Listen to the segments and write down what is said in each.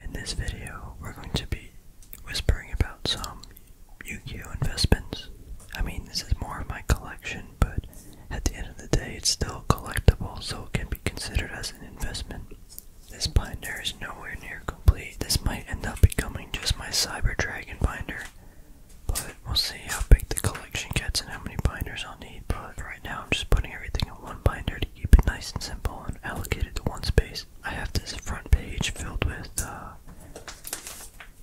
In this video, we're going to be whispering about some Yu-Gi-Oh investments. I mean, this is more of my collection, but at the end of the day, it's still collectible, so it can be considered as an investment. This binder is nowhere near complete. This might end up becoming just my Cyber Dragon binder, but we'll see how big the collection gets and how many binders I'll need. But right now, I'm just putting everything in one binder to keep it nice and simple allocated to one space. I have this front page filled with uh,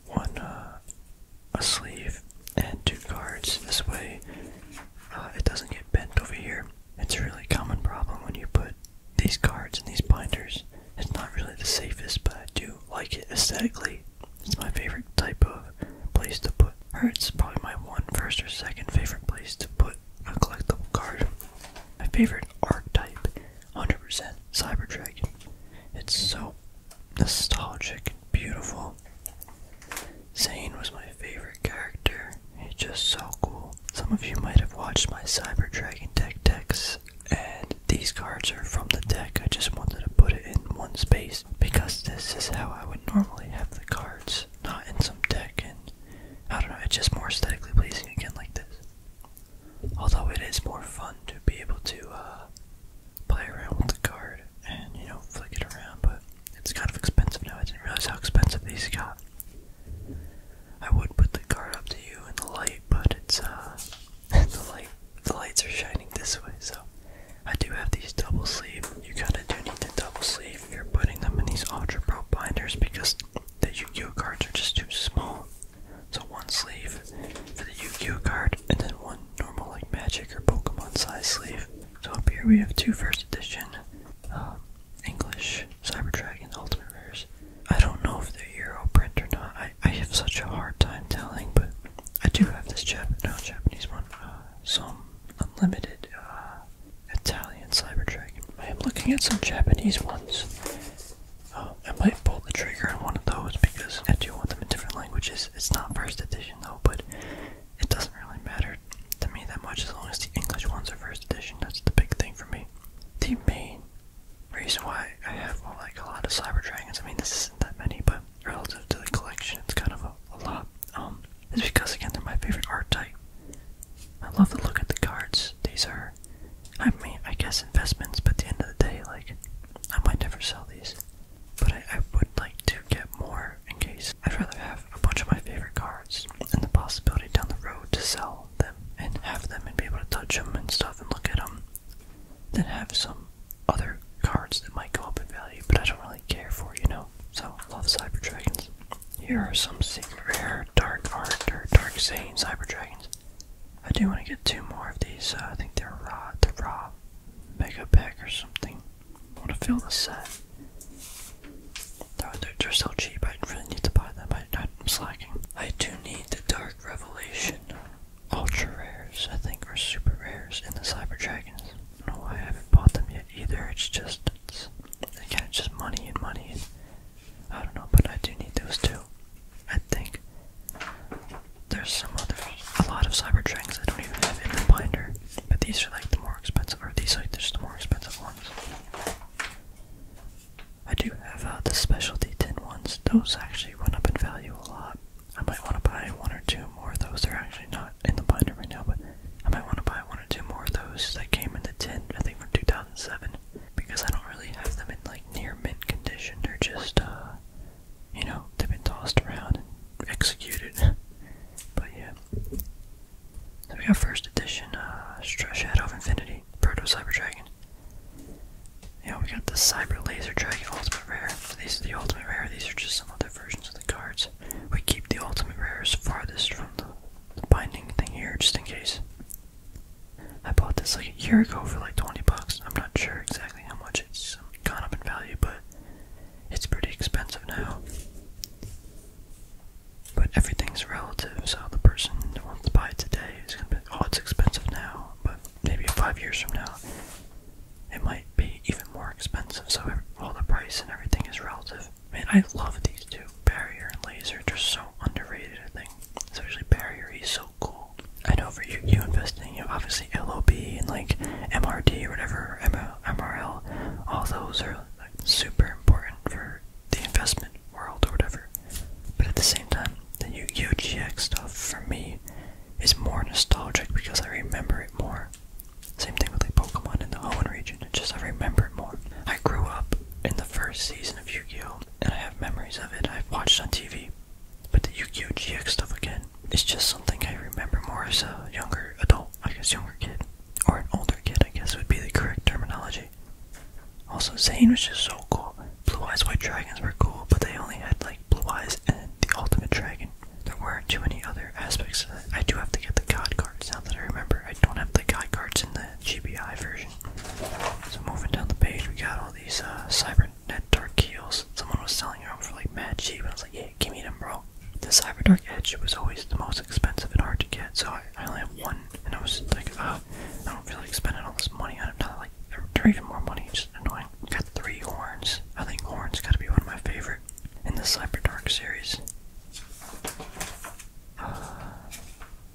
one uh, a sleeve and two cards. This way, uh, it doesn't get bent over here. It's a really common problem when you put these cards in these binders. It's not really the safest, but I do like it aesthetically. It's my favorite type of place to put, or it's probably my one first or second favorite place to put a collectible card. My favorite archetype, 100% Cyber Dragon. It's so nostalgic and beautiful. Zane was my favorite character. He's just so cool. Some of you might have watched my Cyber Dragon deck decks, and these cards are from the deck. I just wanted to put it in one space because this is how I would normally have the cards, not in some deck, and I don't know, it's just more aesthetically pleasing again like this. Although it is more fun to be able to uh, play around with the card and, you know, flick it around, but it's kind of expensive now. I didn't realize how expensive these got. I would put the card up to you in the light, but it's, uh, the light, the lights are shining this way, so I do have these double sleeves. You kind of do need the double sleeve you're putting them in these Ultra Pro binders because the Yu-Gi-Oh cards are just too small. So one sleeve for the Yu-Gi-Oh card, and then one normal like Magic or Pokemon size sleeve. So up here we have two first edition um, English Cyber Dragon Ultimate Rares. I don't know if they're Euro print or not. I, I have such a hard time telling, but I do have this Japanese one. Uh, some unlimited uh, Italian Cyber Dragon. I am looking at some Japanese ones. Uh, I might pull the trigger on one of those because I do want them in different languages. It's not first edition though, but it doesn't really matter to me that much as long as the English ones are first edition. That's the big thing for me. The main reason why I have like a lot of Cyber Dragons, I mean this isn't that many, but relative to the collection, it's kind of a, lot. Um, is because again they're my favorite art type. I love the look at the cards. These are, I mean, I guess investments, but at the end of the day, like, I might never sell these. But I, would like to get more in case. I'd rather have a bunch of my favorite cards and the possibility down the road to sell them and have them and be able to touch them and stuff and look at them than have some other cards that might go up in value, but I don't really care for, you know? So, love Cyber Dragons. Here are some Super rare dark art or dark Zane Cyber Dragons. I do want to get two more of these. Uh, I think they're raw, the raw mega pack or something. I want to fill the set. They're, they so cheap, I really need to buy them. I, I'm slacking. I do need the Dark Revelation Ultra Rares, I think, are Super Rares in the Cyber Dragons know why I haven't bought them yet either. It's just, it's, again, just money and money. I don't know, but I do need those too. I think there's some other, a lot of cyber Cybertranks I don't even have in the binder. But these are like the more expensive, or these are like the more expensive ones. I do have uh, the specialty tin ones. Those actually went up in value a lot. I might want to buy one or two more of those. They're actually not in the binder right now, but I might want to buy one or two more of those that came in the tin, I think from 2007, because I don't really have them in like near mint condition. They're just, uh, you know, they've been tossed around and executed. but yeah. So we got first edition, uh, Shadow of Infinity, Proto Cyber Dragon. Yeah, we got the Cyber Laser Dragon Ultimate Rare. These are the Ultimate Rare, these are just some other versions of the cards. We keep the ultimate rares farthest from the binding thing here, just in case. I bought this like a year ago for like 20 bucks. I'm not sure exactly how much it's um, gone up in value, but it's pretty expensive now. But everything's relative, so the person that wants to buy it today is gonna be, oh, it's expensive now, but maybe five years from now, it might be even more expensive. So all the price and everything is relative. Man, I love these two. Barrier and Laser, they're so underrated. I think, especially Barrier, he's so cool. I know for you, you investing, you obviously LOB and like MRD or whatever, MRL, all those are like super important for the investment world or whatever. But at the same time, the yu gi stuff for me is more nostalgic because I remember it more. Same thing with like Pokemon in the Hoenn region, just I remember it more. I grew up in the first season of Yu-Gi-Oh! and I have memories of it I've watched on TV. But the Yu-Gi-Oh! GX stuff again It's just something I remember more as a younger adult, I guess younger kid. Or an older kid, I guess would be the correct terminology. Also, Zane was just so cool. Blue Eyes White Dragons were cool, but they only had like Blue Eyes, and The Ultimate Dragon. There weren't too many other aspects. I do have to get the god cards now that I remember. I don't have the god cards in the GBI version. So moving down the page, we got all these uh, Cybernet Dark Keels. Someone was selling them for like mad cheap, and I was like, yeah, give me them, bro. The Cyber Dark Edge was always the most expensive and hard to get, so I, only have one, and I was like, oh, I don't feel like spending all this money on it. Now, like, they're even more money, just annoying. Got three horns. I think horns gotta be one of my favorite in the Cyber Dark series. Uh,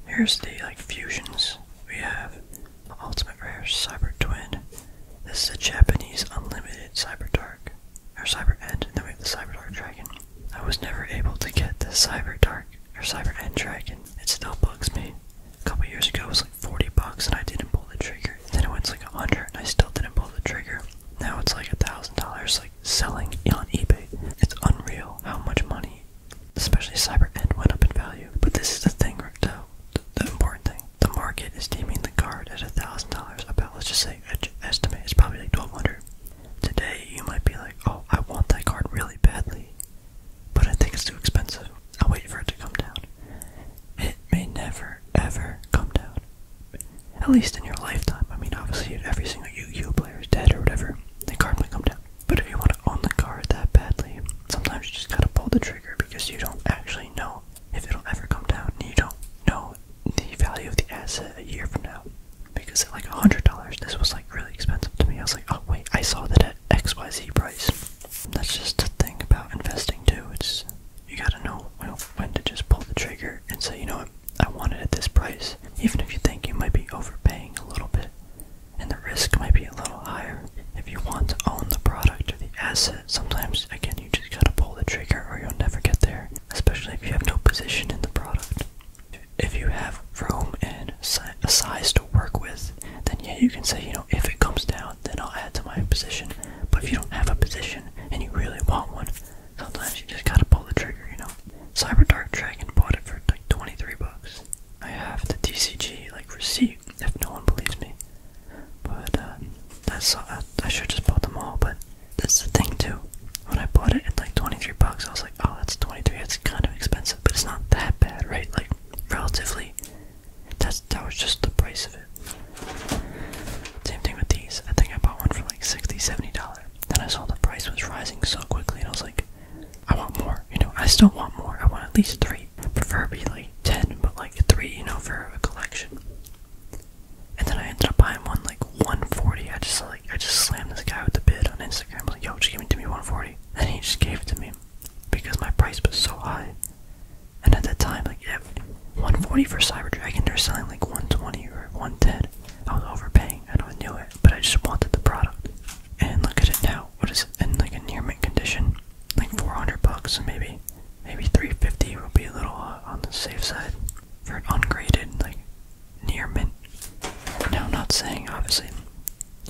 here's the like fusions we have. Ultimate Rare Cyber Twin. This is a Japanese unlimited Cyber Dark. Or Cyber End. And Then we have the Cyber Dark Dragon. I was never able to get the Cyber Dark or Cyber End Dragon. It still bugs me a couple years ago it was like 40 bucks and I didn't pull the trigger. Then it went to like 100 and I still didn't pull the trigger. Now it's like a thousand dollars like selling on eBay. It's unreal how much money, especially Cyber End, went up in value. But this is the thing, the, the important thing. The market is deeming the card at a thousand dollars. About let's just say estimate it's probably like 1200. Today you might be like, oh, I want that card really badly. But I think it's too expensive. I'll wait for it to come down. It may never, ever come down. At least in your lifetime. I mean, obviously, every single Yu-Gi-Oh player is dead or whatever. The card might come down. But if you want to own the card that badly, sometimes you just gotta pull the trigger because you don't actually know if it'll ever come down. And you don't know the value of the asset a year from now. Because at like $100, this was like really expensive to me. I was like, oh wait, I saw that at XYZ price. That's just a thing about investing too. It's you gotta know know, when to just pull the trigger and say, you know what, I want it at this price. Even if you think you might be overpaying a little bit and the risk might be a little higher. If you want to own the product or the asset, sometimes again you just gotta pull the trigger or you'll never get there. Especially if you have no position in the product. If you have room and a size to work with, then yeah, you can say, you know, if it comes down, then I'll add to my position. But if you don't have a position and you really want one, sometimes you just gotta pull the trigger, you know. Cyber Dark Dragon bought it for like 23 bucks. I have the DCG like receipt if no one believes me. But uh, that's uh, I should just bought them all. But that's the thing too. When I bought it at like 23 bucks, I was like, oh, that's 23. It's kind of expensive, but it's not that bad, right? Like relatively. That's that was just the price of it. Same thing with these. I think I bought one for like sixty, dollars Then I saw the price was rising so quickly, and I was like, I want more. You know, I still want more. I want at least three, preferably like ten, but like three, you know, for a collection. And then I ended up buying one like 140. I just like I just slammed this guy with the bid on Instagram. I was like, yo, just give me to me 140. And he just gave it to me because my price was so high. And at that time, like if 140 for Cyber Dragon, they're selling like 120 or 110. I was overpaying, and I knew it, but I just wanted the product. And look at it now. What is it in like a near mint condition? Like 400 bucks, and maybe maybe 350 would be a little uh, on the safe side for an ungraded like near mint now, I'm not saying obviously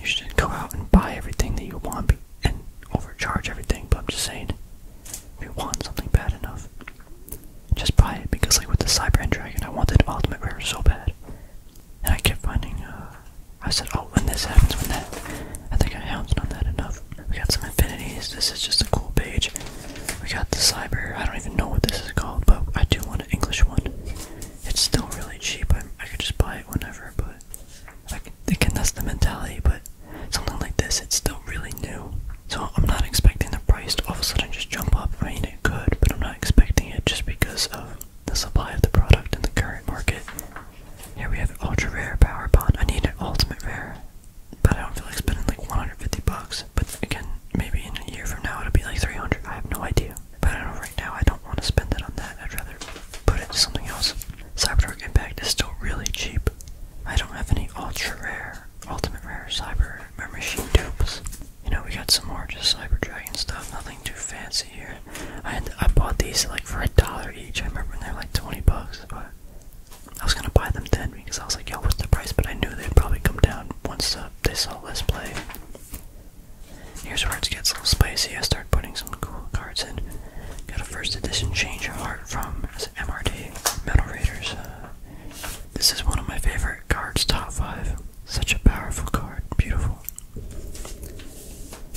you should go out and buy everything that you want and overcharge everything, but I'm just saying if you want something bad enough, just buy it. Because, like with the Cyber and Dragon, I wanted Ultimate Rare so bad, and I kept finding, uh, I said, oh, when this happens, when that. I think I hounded on that enough. We got some infinities. This is just a cool page. We got the cyber. I don't even know what this is called, but I do want an English one it's still really cheap. I, could just buy it whenever, but like, again, that's the mentality. But something like this, it's still really new. So I'm not expecting the price to all of a sudden just jump up. I mean, it could, but I'm not expecting it just because of the supply of the product in the current market. Here we have ultra rare power bond. I need an ultimate rare, but I don't feel like spending like 150 bucks. But again, maybe in a year from now it'll be like 300. I have no idea. But I don't, right now, I don't want to spend it on that. I'd rather put it into something else. Cyber Dragon Impact is still really cheap. I don't have any ultra rare, ultimate rare cyber machine dupes. You know, we got some more just Cyber Dragon stuff, nothing too fancy here. I I bought these like for a dollar each. I remember when they were like 20 bucks, but I was gonna buy them then because I was like, yo, what's the price? But I knew they'd probably come down once uh, they saw Let's Play. Here's where it gets a little spicy. I start putting some cool cards in. Got a first edition Change of Heart from MRT Metal Raiders. Uh, this is one of my favorite cards, top five. Such a powerful card, beautiful.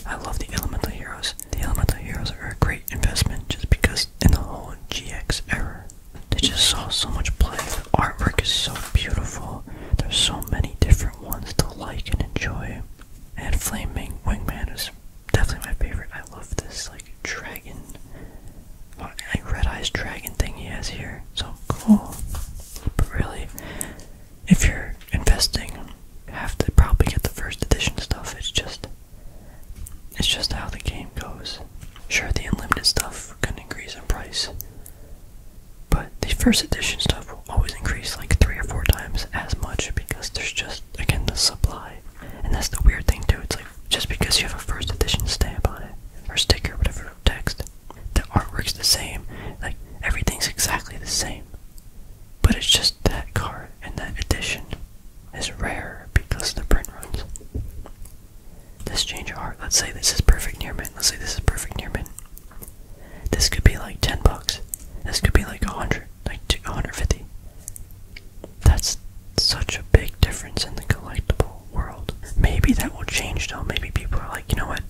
I love the Elemental Heroes. The Elemental Heroes are a great investment just because in the whole GX era, they just saw so much play. The artwork is so beautiful. There's so many different ones to like and enjoy. And Flaming Wingman is definitely my favorite. I love this like dragon, uh, like red eyes dragon thing he has here. So cool. But really, if you're investing, you have to probably get the first edition stuff. It's just, it's just how the game goes. Sure, the unlimited stuff can increase in price, but the first edition stuff will always increase like three or four times as much because there's just, again, the supply. And that's the weird thing, too. It's like just because you have a first edition stamp on it, or sticker, whatever text, the artwork's the same, like everything's exactly the same. But it's just that card and that edition is rare because the print runs. This change of heart. Let's say this is perfect near mint. Let's say this is perfect near mint. This could be like 10 bucks. This could be like a 100, like two hundred fifty. That's such a big difference in the collectible world. Maybe that will change though. Maybe people are like, you know what?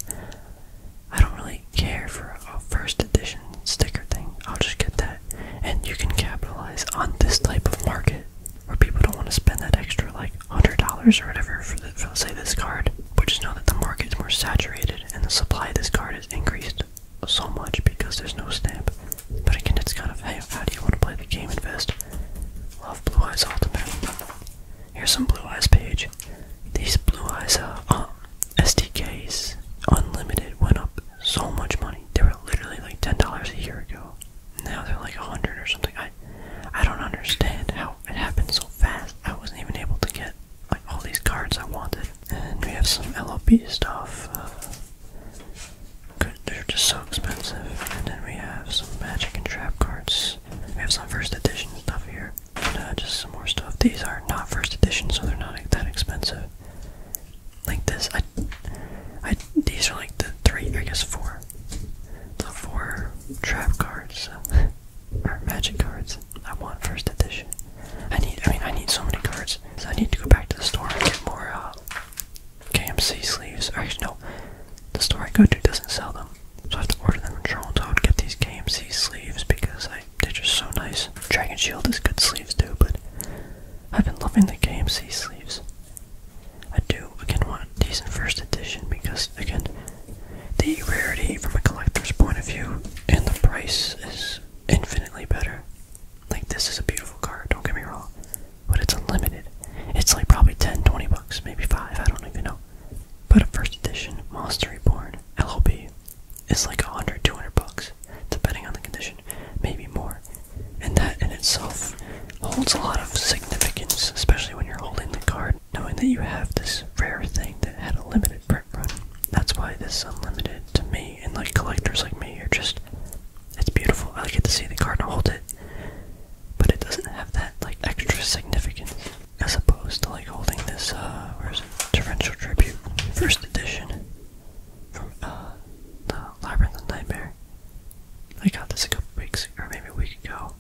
I don't really care for a first edition sticker thing. I'll just get that. And you can capitalize on this type of market where people don't want to spend that extra like hundred dollars or whatever for, the, for say this card, but just know that the market's more saturated and the supply of this card has increased so much because there's no stamp. But again, it's kind of how do you want to play the game? Invest. Love Blue Eyes Ultimate. Here's some Blue Eyes page. These Blue Eyes uh, um, SDKs, unlimited, went up so much money. They were literally like ten dollars a year ago. Now they're like a hundred or something. I I don't understand how it happened so fast. I wasn't even able to get all these cards I wanted. And we have some LOP stuff. Uh, they're just so expensive. And then we have some magic and trap cards. We have some first edition stuff here. Uh, just some more stuff. These are not first edition, so they're not that expensive like this. I, I these are like the three, I guess four, the four trap cards uh, or magic cards I want first edition. I need, I mean, I need so many cards, so I need to go back to the store and get more uh, KMC sleeves. actually, no, the store I go to doesn't sell them, so I have to order them from Toronto and get these KMC sleeves because they're just so nice. Dragon Shield is good sleeves too, but I've been loving the KMC sleeves. I do again want decent first edition because again the rarity from a collector's point of view and the price is infinitely better. Like this is a beautiful card, don't get me wrong. But it's unlimited. It's like probably 10, 20 bucks, maybe five, I don't even know. But a first edition Monster Reborn LOB is like 100, 200 bucks, depending on the condition maybe more. And that in itself holds a lot of significance, especially when you're holding the card, knowing that you have this rare thing that had a limited print run. That's why this is unlimited to me and like collectors like me you are just it's beautiful. I get to see the card and hold it. But it doesn't have that like extra significance. As opposed to like holding this uh where's it? Torrential Tribute. First edition from uh Labyrinth Nightmare. I got this a couple weeks or maybe a week ago.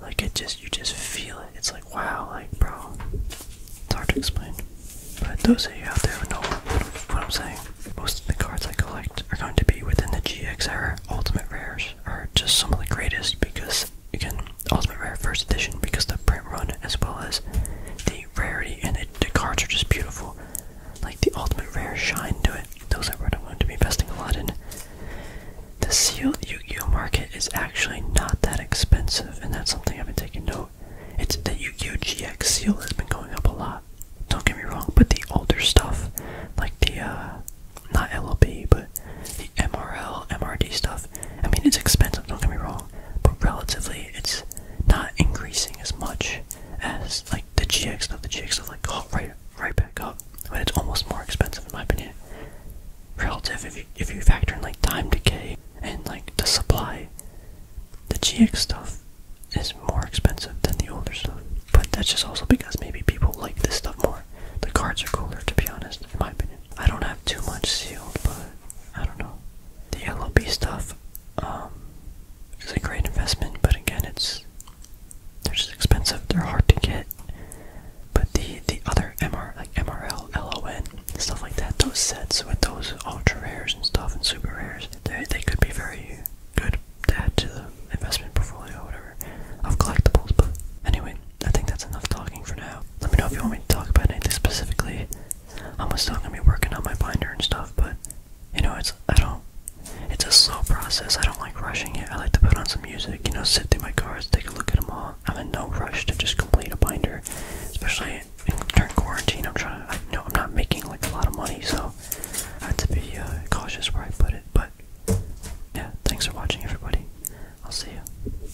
Like it just you just feel it. It's like wow, like bro. It's hard to explain. But those of you out there who know what I'm saying, most of the cards I collect are going to be within the GXR Ultimate rares are just some of the greatest because again, Ultimate Rare first edition because the print run as well as the rarity and the cards are just beautiful like the ultimate rare shine to it. Those are what I'm going to be investing a lot in. The sealed yu market is actually not that expensive, and that's something I've been taking note. It's the yu gi GX seal has been going up a lot. Don't get me wrong, but the older stuff, like the uh, not LLB, but the MRL, MRD stuff. I mean, it's expensive. Don't get me wrong, but relatively it's not increasing as much as like the GX stuff. The GX stuff like caught right right back up, but it's almost more expensive in my opinion. Relative if you if you factor in like time decay and like the supply, the GX stuff is more expensive than the older stuff. But that's just also because maybe people like this stuff more. The cards are cooler to be honest, in my opinion. I don't have too much sealed, but I don't know. The LOB stuff um, is a great investment, but again, it's they're just expensive. They're hard to get. But the the other MR like MRL, LON, stuff like that, those sets with those ultra rares and stuff and super rares, they they could be very good to add to the investment portfolio or whatever of collectibles. But anyway, I think that's enough talking for now. Let me know if you want me to talk about anything specifically. I'm still gonna be working on my binder and stuff, but you know, it's I don't. It's a slow process. I don't like rushing it. I like to put on some music, you know, sit through my cards, take a look at them all. I'm in no rush to just complete a binder, especially during quarantine. I'm trying to. I, know, I'm not making like a lot of money, so I have to be uh, cautious where I put it. But yeah, thanks for watching, everybody. I'll see you.